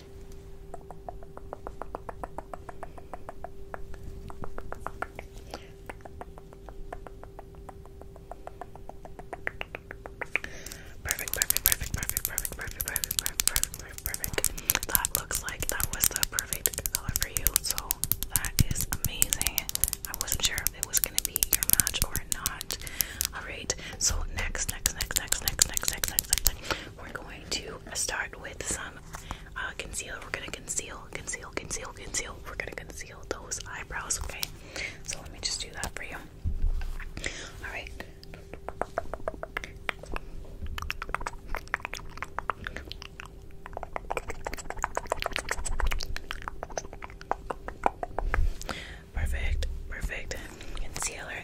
Perfect, perfect, perfect, perfect, perfect, perfect, perfect, perfect, perfect, perfect. That looks like that was the perfect color for you. So that is amazing. I wasn't sure if it was gonna be your match or not. Alright, so next, next, next, next, next, next, next, next, next, next. We're going to start with some some uh, concealer. We're gonna conceal, conceal, conceal, conceal. We're gonna conceal those eyebrows, okay? So let me just do that for you. All right. Perfect, perfect. Concealer,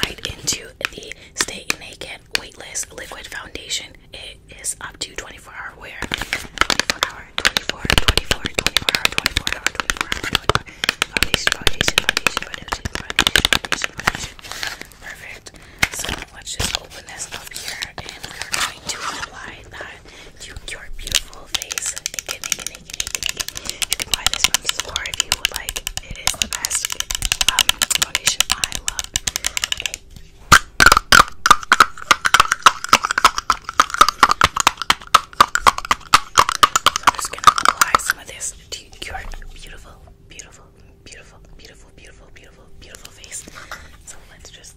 Right into the Stay Naked Weightless Liquid Foundation. It is up to 24 hour wear. 24 hour, 24, 24, 24 hour, 24 hour, 24 hour, 24 hour. Foundation, foundation, foundation, foundation, foundation, foundation, foundation. Perfect. So let's just open this up here and we're going to apply that to your beautiful whole face. Naked, naked, naked, naked, naked. You can buy this from the store if you would like. It is the best um, foundation I love. Okay. I'm just gonna apply some of this to your beautiful, beautiful, beautiful, beautiful, beautiful, beautiful, beautiful face. So let's just.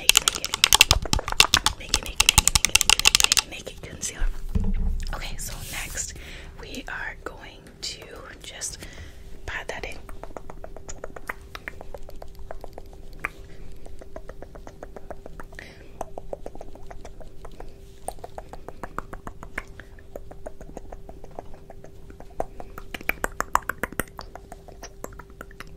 naked, naked, naked, naked, naked, naked, naked, concealer. Okay, so next we are going to just pat that in.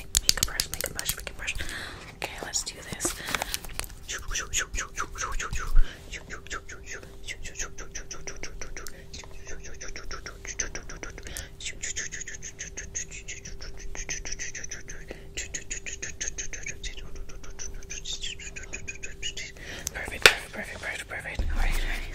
make a brush, Make a brush, Make a brush. Okay, let's do this. Perfect, perfect, perfect, perfect, perfect. all right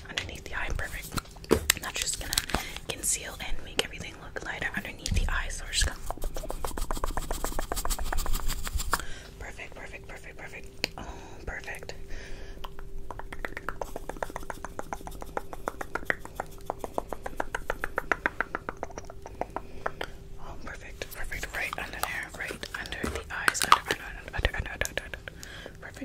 underneath the eye. Perfect. And that's just gonna conceal and make everything look lighter underneath the eye. So we're just gonna. Perfect, perfect, perfect, perfect. Oh, perfect. Oh, perfect, perfect. Right under there, right under the eyes. Under, under, under, under, under, under, under. Perfect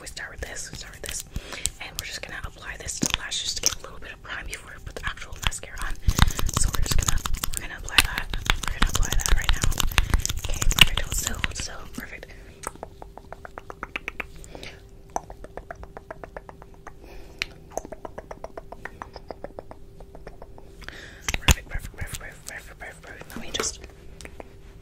we start with this, start with this, and we're just gonna apply this to the lashes to get a little bit of prime before we put the actual mascara on. So we're just gonna we're gonna apply that. We're gonna apply that right now. Okay, perfect. Hold still, perfect. Perfect, perfect, perfect, perfect, perfect, perfect. Let me just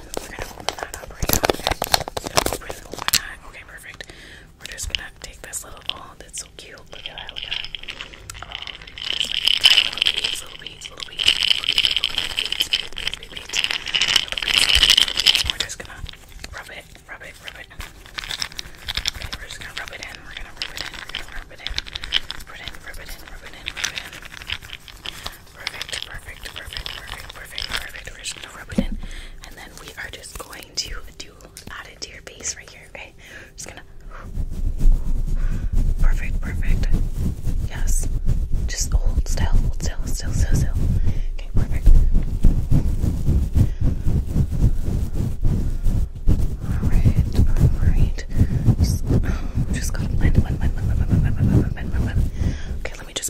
we're gonna open that up right now. We're gonna open that. Okay, perfect. We're just gonna take this little ball that's so cute. Look at that, look at that. Oh, just like little beads, little beads, little beads. We're just gonna rub it, rub it, rub it. Okay, we're just gonna rub it in. We're gonna rub it in. We're gonna rub it in. Rub it in, rub it in, rub it in, rub it in. Perfect, perfect, perfect, perfect, perfect, perfect. We're just gonna rub it in, and then we are just going to do add it to your base right here. Okay, I'm just gonna. Perfect, perfect. Yes. Just hold still, hold still, still, still, still. Okay, perfect. Alright, alright. Just, oh, just gotta blend, blend, blend, blend, blend, blend, blend, blend, blend, blend, blend. Okay, let me just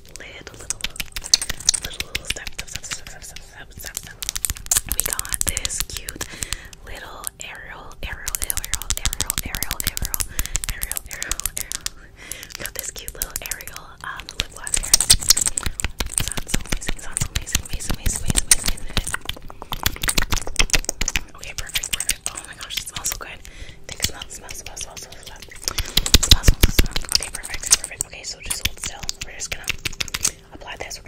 we got this cute little aerial, Ariel, Ariel, Ariel, Ariel, Ariel, Ariel, Ariel, Ariel. We got this cute little Ariel um, lip gloss here. Sounds amazing, sounds amazing, amazing, amazing, amazing, amazing. Okay, perfect, perfect. Oh my gosh, it smells so good. it smells, smells, smells, smells, smells, smells, smells, smells, smells, smells, smells, smells, so just hold still. We're just gonna apply this.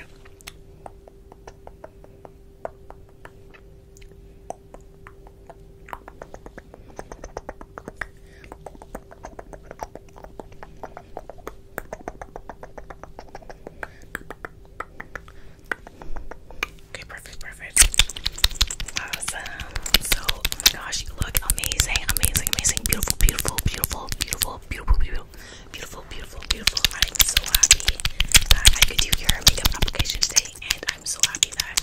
Okay, perfect, perfect. Awesome. So, oh my gosh, you look amazing, amazing, amazing, beautiful, beautiful, beautiful, beautiful, beautiful, beautiful, beautiful, beautiful, beautiful. I'm so happy that I could do your makeup application today, and I'm so happy that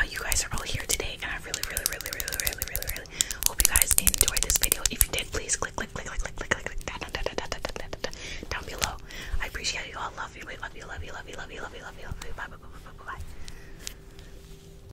uh, you guys are all here today. And I really, really, really, really, really, really, really hope you guys enjoyed this video. If you did, please click, click, click, click, click, click, click, click, down, down, down, down, down, down, down, down below. I appreciate you all. Love you, love you, love you, love you, love you, love you, love you, love you. Bye, bye, bye, bye, bye, bye.